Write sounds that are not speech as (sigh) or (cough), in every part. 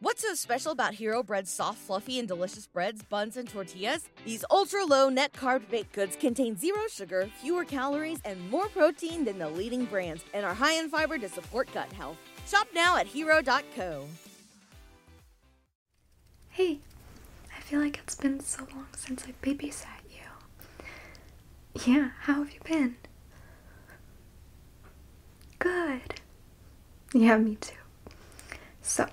What's so special about Hero Bread's soft, fluffy, and delicious breads, buns, and tortillas? These ultra low net carb baked goods contain zero sugar, fewer calories, and more protein than the leading brands, and are high in fiber to support gut health. Shop now at hero.co. Hey, I feel like it's been so long since I babysat you. Yeah, how have you been? Good. (laughs) Yeah, me too. So,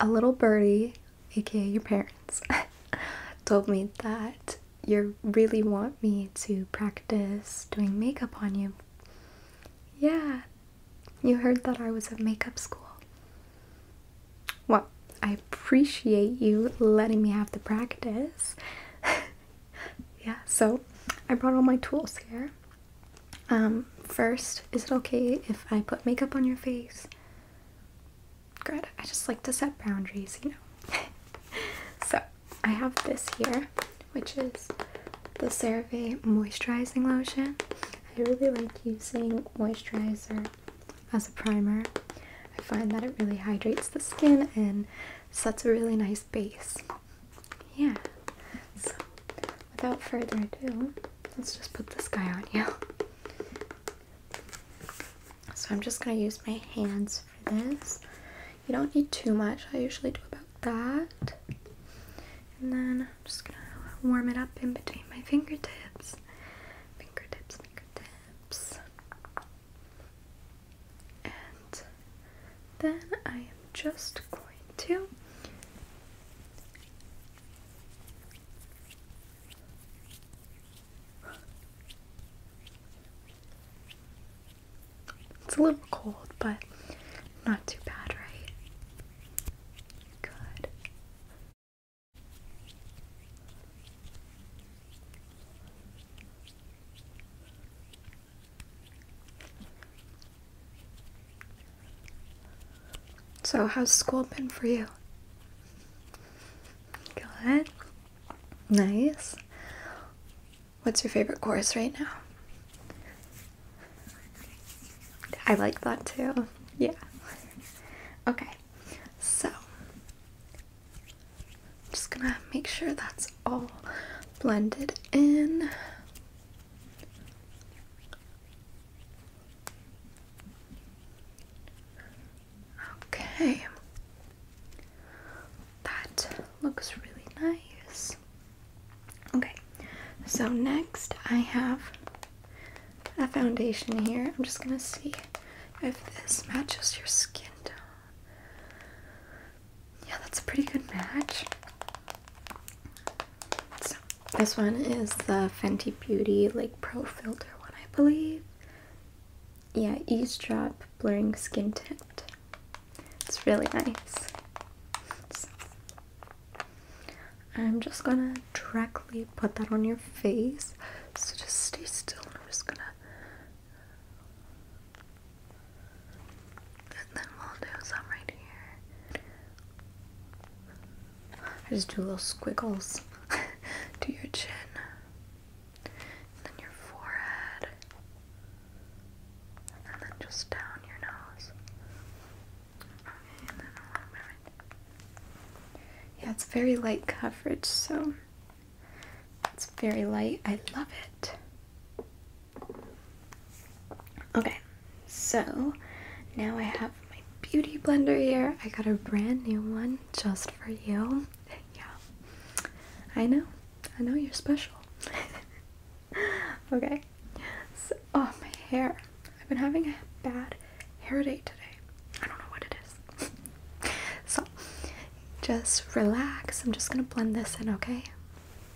a little birdie, aka your parents, (laughs) told me that you really want me to practice doing makeup on you. Yeah, you heard that I was at makeup school. Well, I appreciate you letting me have the practice. (laughs) yeah, so I brought all my tools here. Um, first, is it okay if I put makeup on your face? Good. I just like to set boundaries, you know. (laughs) so, I have this here, which is the CeraVe Moisturizing Lotion. I really like using moisturizer as a primer. I find that it really hydrates the skin and sets a really nice base. Yeah. So, without further ado, let's just put this guy on you. So I'm just gonna use my hands for this. You don't need too much. I usually do about that. And then I'm just gonna warm it up in between my fingertips. Fingertips, fingertips. And then I am just going to it's a little cold, but not too bad, right? Good. So, how's school been for you? Good. Nice. What's your favorite course right now? I like that too. Yeah. (laughs) Okay. So, I'm just gonna make sure that's all blended in. Okay, that looks really nice. Okay, so next I have a foundation here. I'm just gonna see if this matches your skin tone. Yeah, that's a pretty good match. this one is the Fenty Beauty like Pro Filter one, I believe. Yeah, eavesdrop blurring skin tint. It's really nice. I'm just gonna directly put that on your face. So just stay still. I'm just gonna and then we'll do some right here. just do little squiggles (laughs) to your chin. And then your forehead. And then just down your nose. Yeah, it's very light coverage, so it's very light. I love it. Okay, so now I have my beauty blender here. I got a brand new one just for you. (laughs) yeah, I know. I know you're special. (laughs) okay, so, oh, my hair. I've been having a bad hair day today. I don't know what it is. (laughs) so, just relax. I'm just gonna blend this in, okay?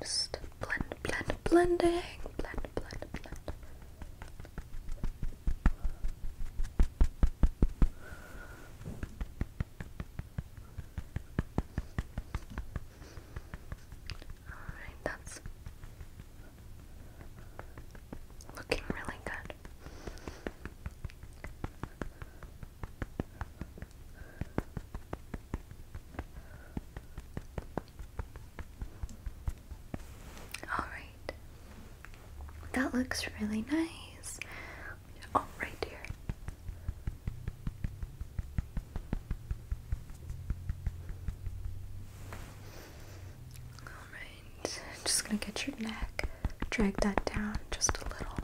Just blend, blend, blending, blend, blend, blend. Alright, that's looking really good. Alright, that looks really nice. Oh, right Alright, just gonna get your neck, drag that down just a little.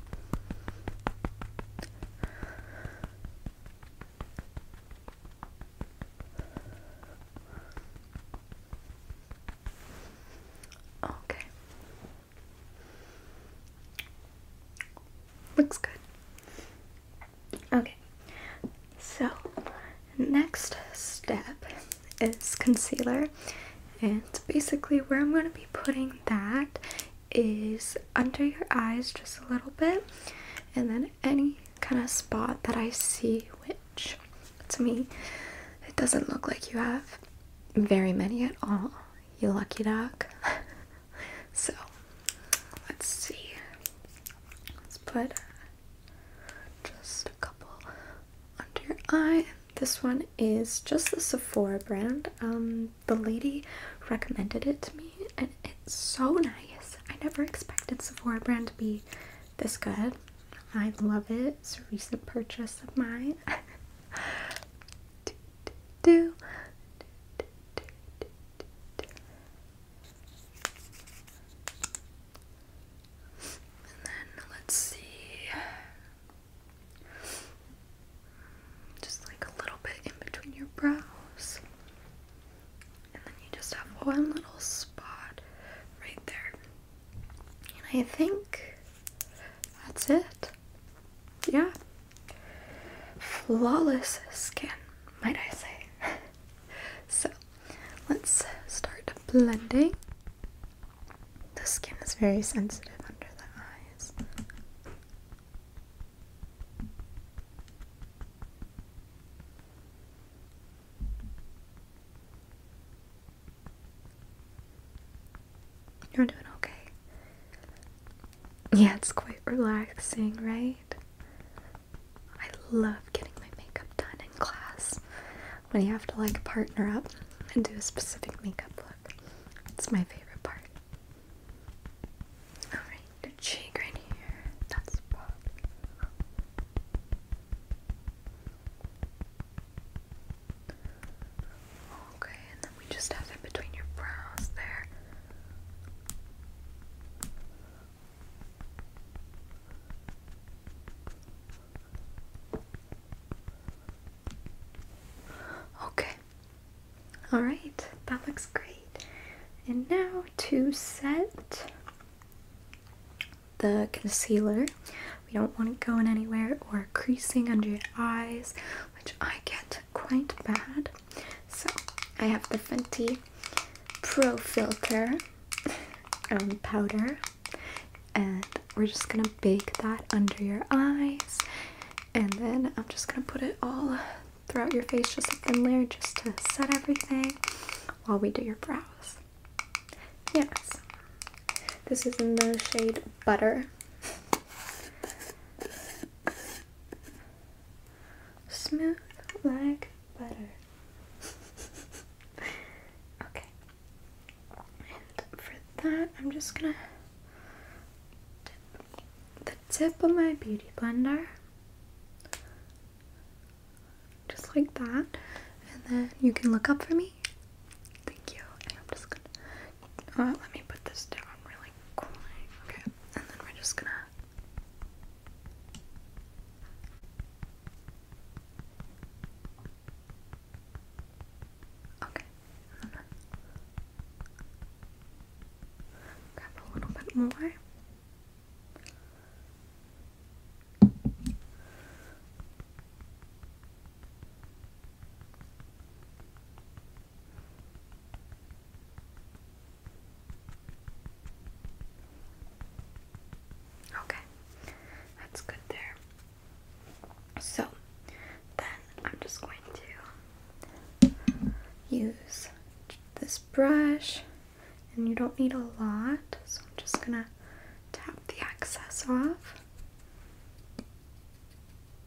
Okay. Looks good. Okay, so next step is concealer, and basically, where I'm going to be putting that is under your eyes just a little bit, and then any kind of spot that I see, which to me, it doesn't look like you have very many at all you lucky dog. (laughs) so let's see. Let's put just a couple under your eye. This one is just the Sephora brand. Um, the lady recommended it to me, and it's so nice. I never expected Sephora brand to be this good. I love it. It's a recent purchase of mine. (laughs) do, do, do, do, do. And then let's see. Just like a little bit in between your brows. And then you just have one little spot right there. And I think that's it yeah. Flawless skin, might I say. (laughs) so let's start blending. The skin is very sensitive under the eyes. You're doing okay. Yeah, it's quite relaxing, right? I love getting my makeup done in class when you have to like partner up and do a specific makeup look. It's my favorite part. Alright, your cheek right here. That's pop. Okay, and then we just have it between your brows there. Okay. Alright, that looks great. And now to set the concealer. We don't want it going anywhere or creasing under your eyes which I get quite bad. So I have the Fenty Pro Filter (laughs) um, powder, and we're just gonna bake that under your eyes, and then I'm just gonna put it all throughout your face, just a thin layer, just to set everything while we do your brows. Yes, this is in the shade Butter. Smooth like butter. okay. And for that, I'm just gonna the tip of my beauty blender. Just like that. And then you can look up for me me. Thank you. I'm just gonna. Uh, let me put this down really quick. Okay. And then we're just gonna. Okay. grab a little bit more. Okay, that's good there. So then I'm just going to use this brush, and you don't need a lot, so I'm just gonna tap the excess off.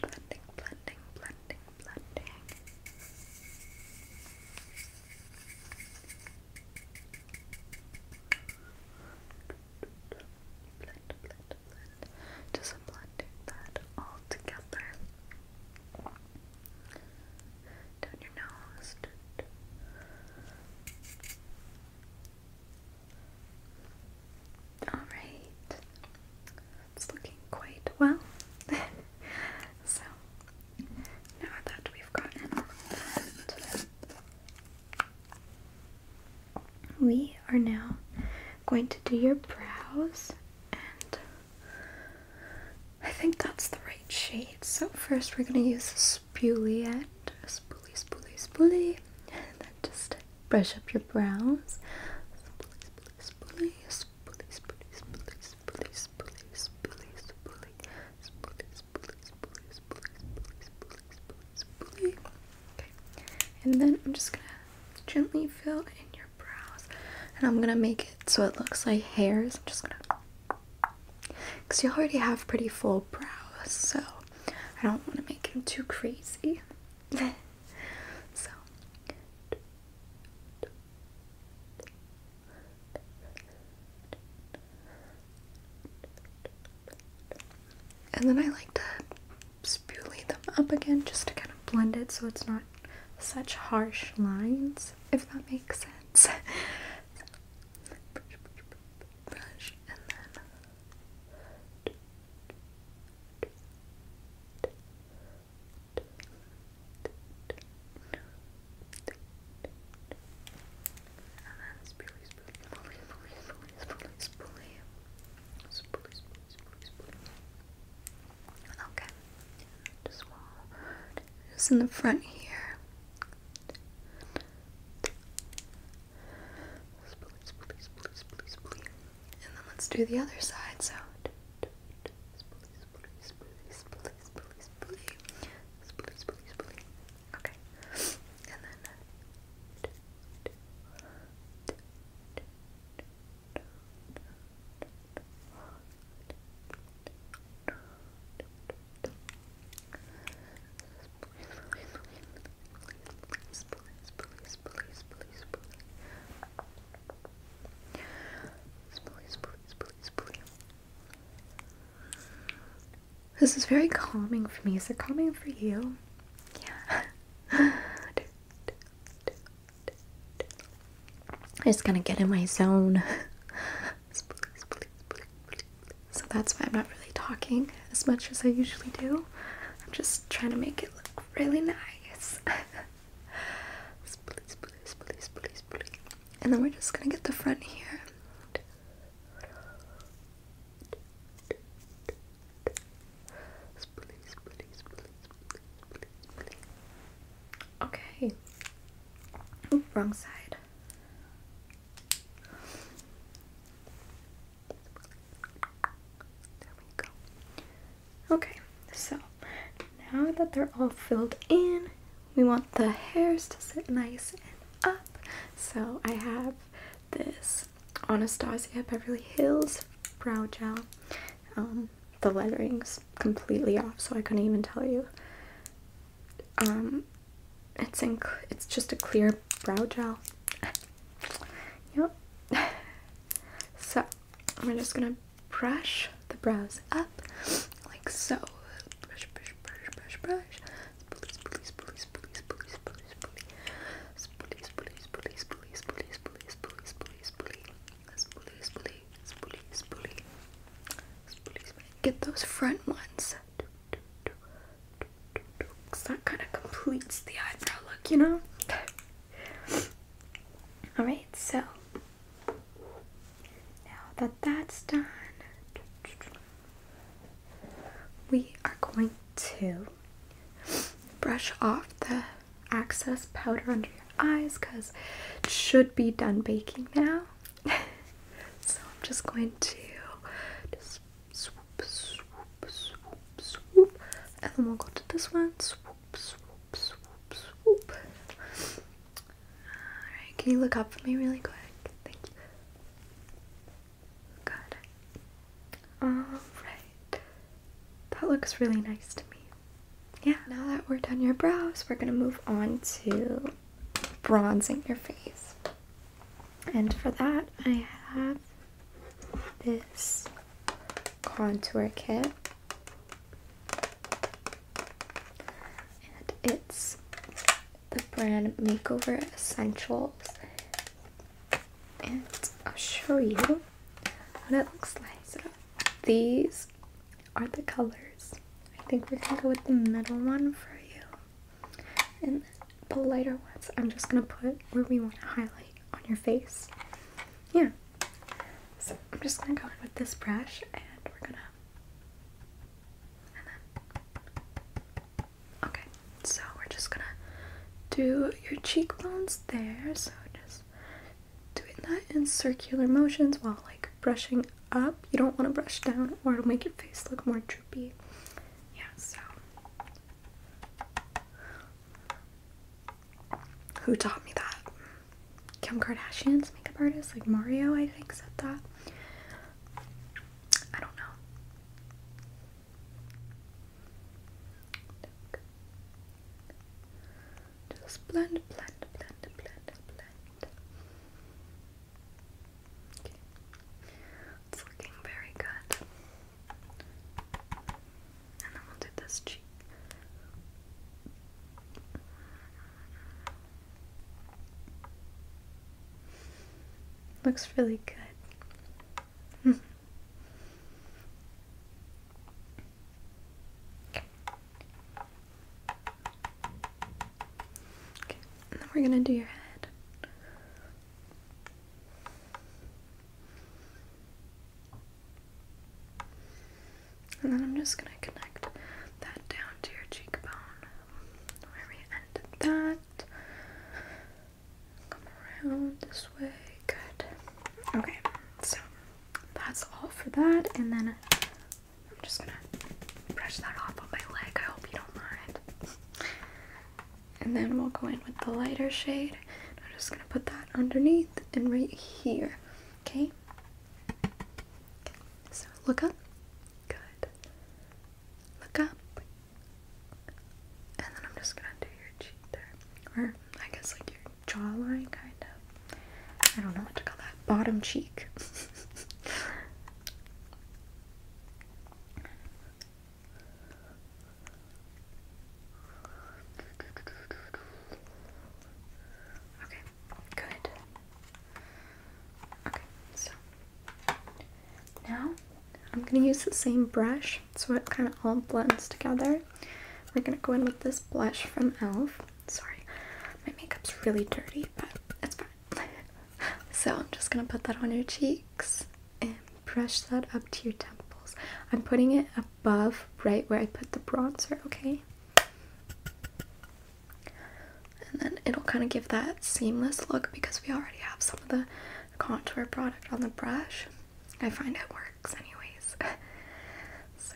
blending, blending, blending, blending. Blend, blend, blend. Just blending that all together. Down your nose. Down Alright, it's looking quite well. (laughs) so, now that we've gotten all of that, we are now going to do your brows, and I think that's the right shade. So, first, we're going to use a spoolie end, spoolie, spoolie, spoolie, (laughs) and then just brush up your brows. and then I'm just gonna gently fill in your brows, and I'm gonna make it so it looks like hairs. I'm just gonna, cause you already have pretty full brows, so I don't want to make them too crazy so and then I like to spoolie them up again just to kind of blend it so it's not such harsh lines, if that makes sense. And then Okay, just in the front here. And then let's do the other side sound. Okay. This is very calming for me. Is it calming for you? Yeah. I just gonna get in my zone. (laughs) So that's why I'm not really talking as much as I usually do. I'm just trying to make it look really nice. (laughs) And then we're just gonna get the front here. Okay. wrong side. There we go. Okay, so now that they're all filled in, we want the hairs to sit nice and up. So I have this Anastasia Beverly Hills brow gel. Um, the lettering's completely off, so I couldn't even tell you. Um, it's in, it's just a clear brow gel. Yep. so we're just gonna brush the brows up like so. Brush, brush, brush, brush, brush. Please, please, please, please, please, please, please, please, please, please, please, please, please, please, please, please, please, please, please, please. Get those front ones. Cause that kind of completes the eyebrow look, you know? (laughs) Alright, so now that that's done, we are going to brush off the excess powder under your eyes because it should be done baking now. (laughs) so I'm just going to just swoop, swoop, swoop, swoop, and then we'll go to this one, swoop, swoop, swoop, swoop. Alright, can you look up for me really quick? Thank you. Good. Alright. That looks really nice to me. Yeah, now that we're done your brows, we're gonna move on to bronzing your face. And for that, I have this contour kit and it's the brand makeover essentials and I'll show you what it looks like so these are the colors I think we can go with the middle one for you and the lighter ones, I'm just gonna put where we want to highlight on your face. Yeah. So I'm just gonna go in with this brush and we're gonna. Okay, so we're just gonna do your cheekbones there. So just doing that in circular motions while like brushing up. You don't want to brush down or it'll make your face look more droopy. Yeah, so who taught me that? Kim Kardashian's makeup artist, like Mario, I think, said that. I don't know. Just blend, blend, blend, blend, blend. Okay. It's looking very good. And then we'll do this cheek. Looks really good. okay. (laughs) okay, and then we're gonna do your head. And then I'm just going to connect that down to your cheekbone where we ended that. Come around this way. Good. Okay, so that's all for that. And then I'm just going to brush that off on my leg. I hope you don't mind. And then we'll go in with the lighter shade. I'm just going to put that underneath and right here. Okay? So look up. Good. Look up. And then I'm just going to do your cheek there. Or I guess like your jawline, kind of. I don't know what to call that. Bottom cheek. (laughs) Okay, good. Okay, so now I'm gonna use the same brush so it kind of all blends together. We're gonna go in with this blush from e.l.f. Sorry, my makeup's really dirty, but it's fine so I'm just gonna put that on your cheeks and brush that up to your temples. I'm putting it above right where I put the bronzer, okay? And then it'll kind of give that seamless look because we already have some of the contour product on the brush. I find it works anyways. (laughs) so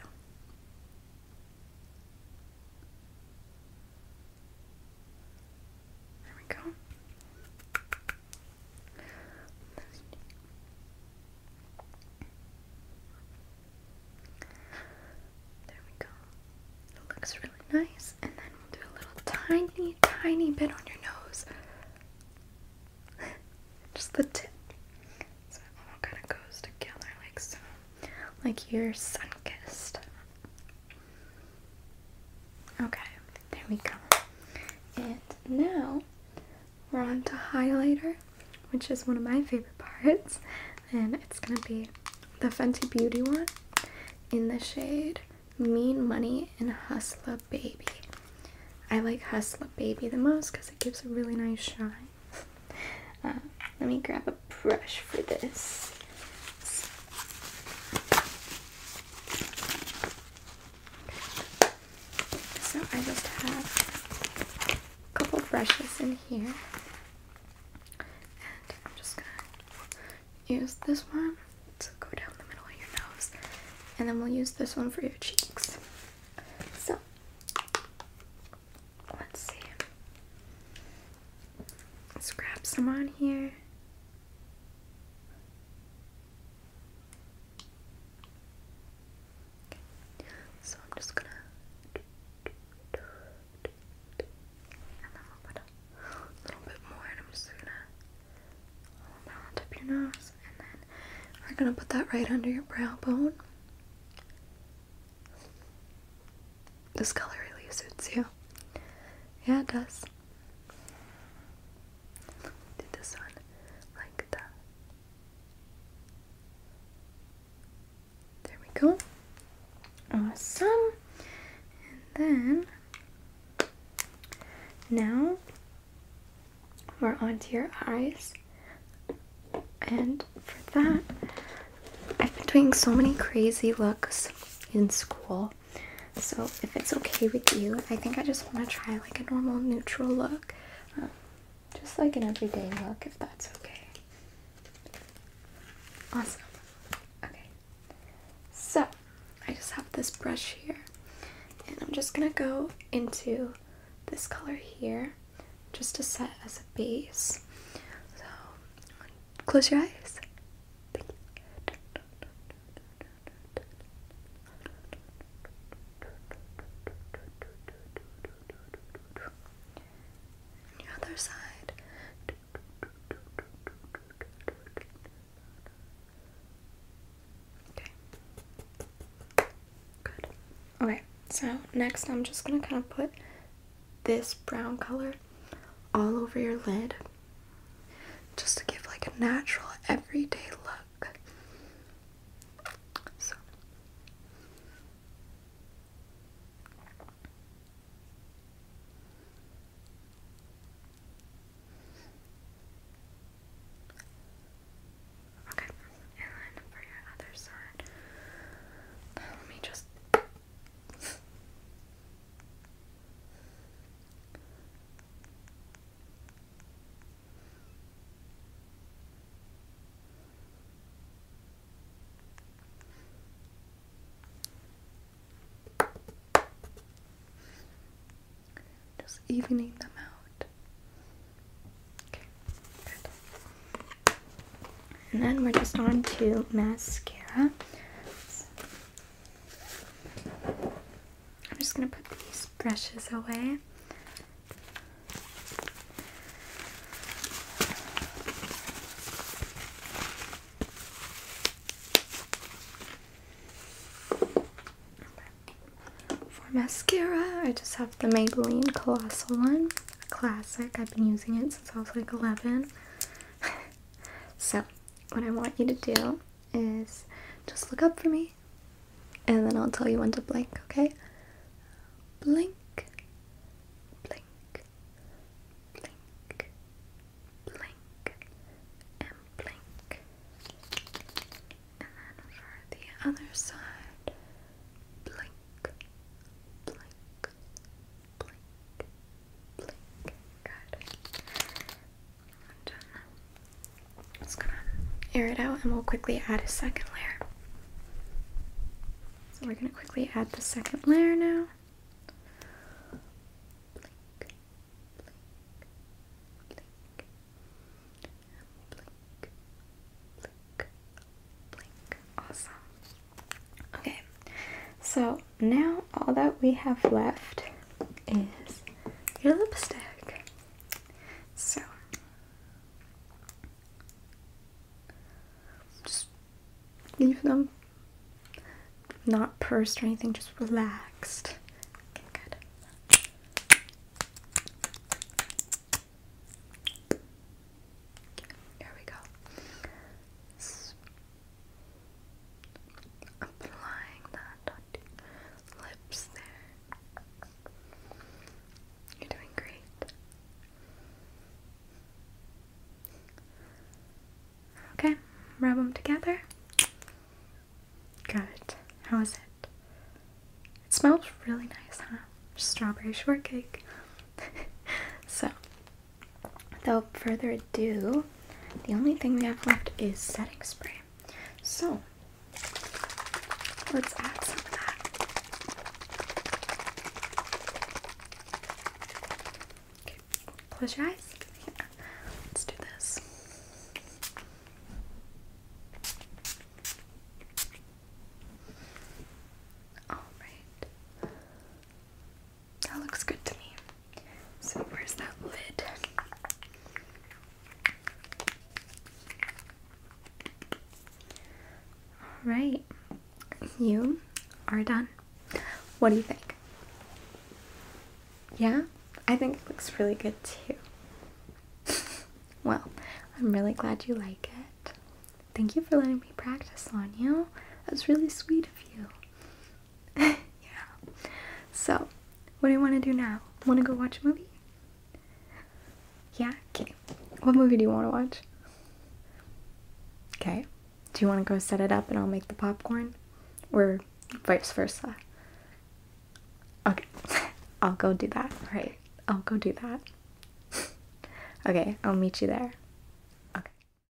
there we go. There we go. It looks really nice. And then we'll do a little tiny, tiny bit on your nose. (laughs) Just the tip. So it all kind of goes together like so. Like you're sun kissed. Okay, there we go. And now we're on to highlighter, which is one of my favorite parts. (laughs) And it's gonna be the Fenty Beauty one in the shade Mean Money and Hustla Baby. I like Hustla Baby the most because it gives a really nice shine. (laughs) Uh, let me grab a brush for this. So I just have a couple brushes in here. And I'm just gonna use this one to go down the middle of your nose. And then we'll use this one for your cheeks. So, let's see. Let's grab some on here. So I'm just gonna a little bit more and I'm just gonna hold your nose and then we're gonna put that right under your brow bone. This color really suits you. Yeah, it does. Did the sun like that? There we go. Awesome. And then now we're onto your eyes. And for that, I've been doing so many crazy looks in school. So if it's okay with you, I think I just want to try like a normal neutral look. Uh, just like an everyday look if that's okay. Awesome. Okay. So I just have this brush here and I'm just gonna go into this color here just to set as a base. So close your eyes. Your other side. Okay. Good. Okay, so next I'm just gonna kind of put this brown color all over your lid just to give like a natural everyday look. Okay, and then for your other side, let me just just evening them out. Okay, And then we're just on to mascara. I'm just going to put these brushes away. For mascara, I just have the Maybelline Colossal one. classic. I've been using it since I was like 11. (laughs) so what I want you to do is just look up for me and then I'll tell you when to blink, okay? Blink, blink, blink, blink, and blink. And then for the other side, blink, blink, blink, air it out and we'll quickly add a second layer. So we're gonna quickly add the second layer now. Okay, so now all that we have left is your lipstick. So just leave them not pursed or anything, just relaxed. good. here we go. Applying that on lips there. You're doing great. Okay, rub them together. Good. How is it? It smells really nice, huh? Strawberry shortcake. (laughs) so, without further ado, the only thing we have left is setting spray. So let's add some of that. Okay, close your eyes. Let's do this. All right. That looks good to me. So, where's that lid? Alright, you are done. What do you think? Yeah, I think it looks really good too. (laughs) well, I'm really glad you like it. Thank you for letting me practice on you. That's really sweet of you. (laughs) yeah. So, what do you want to do now? Want to go watch a movie? Yeah? Okay. What movie do you want to watch? Okay. Do you want to go set it up and I'll make the popcorn? Or vice versa? Okay. (laughs) I'll go do that. Right. I'll go do that. (laughs) okay. I'll meet you there. Okay.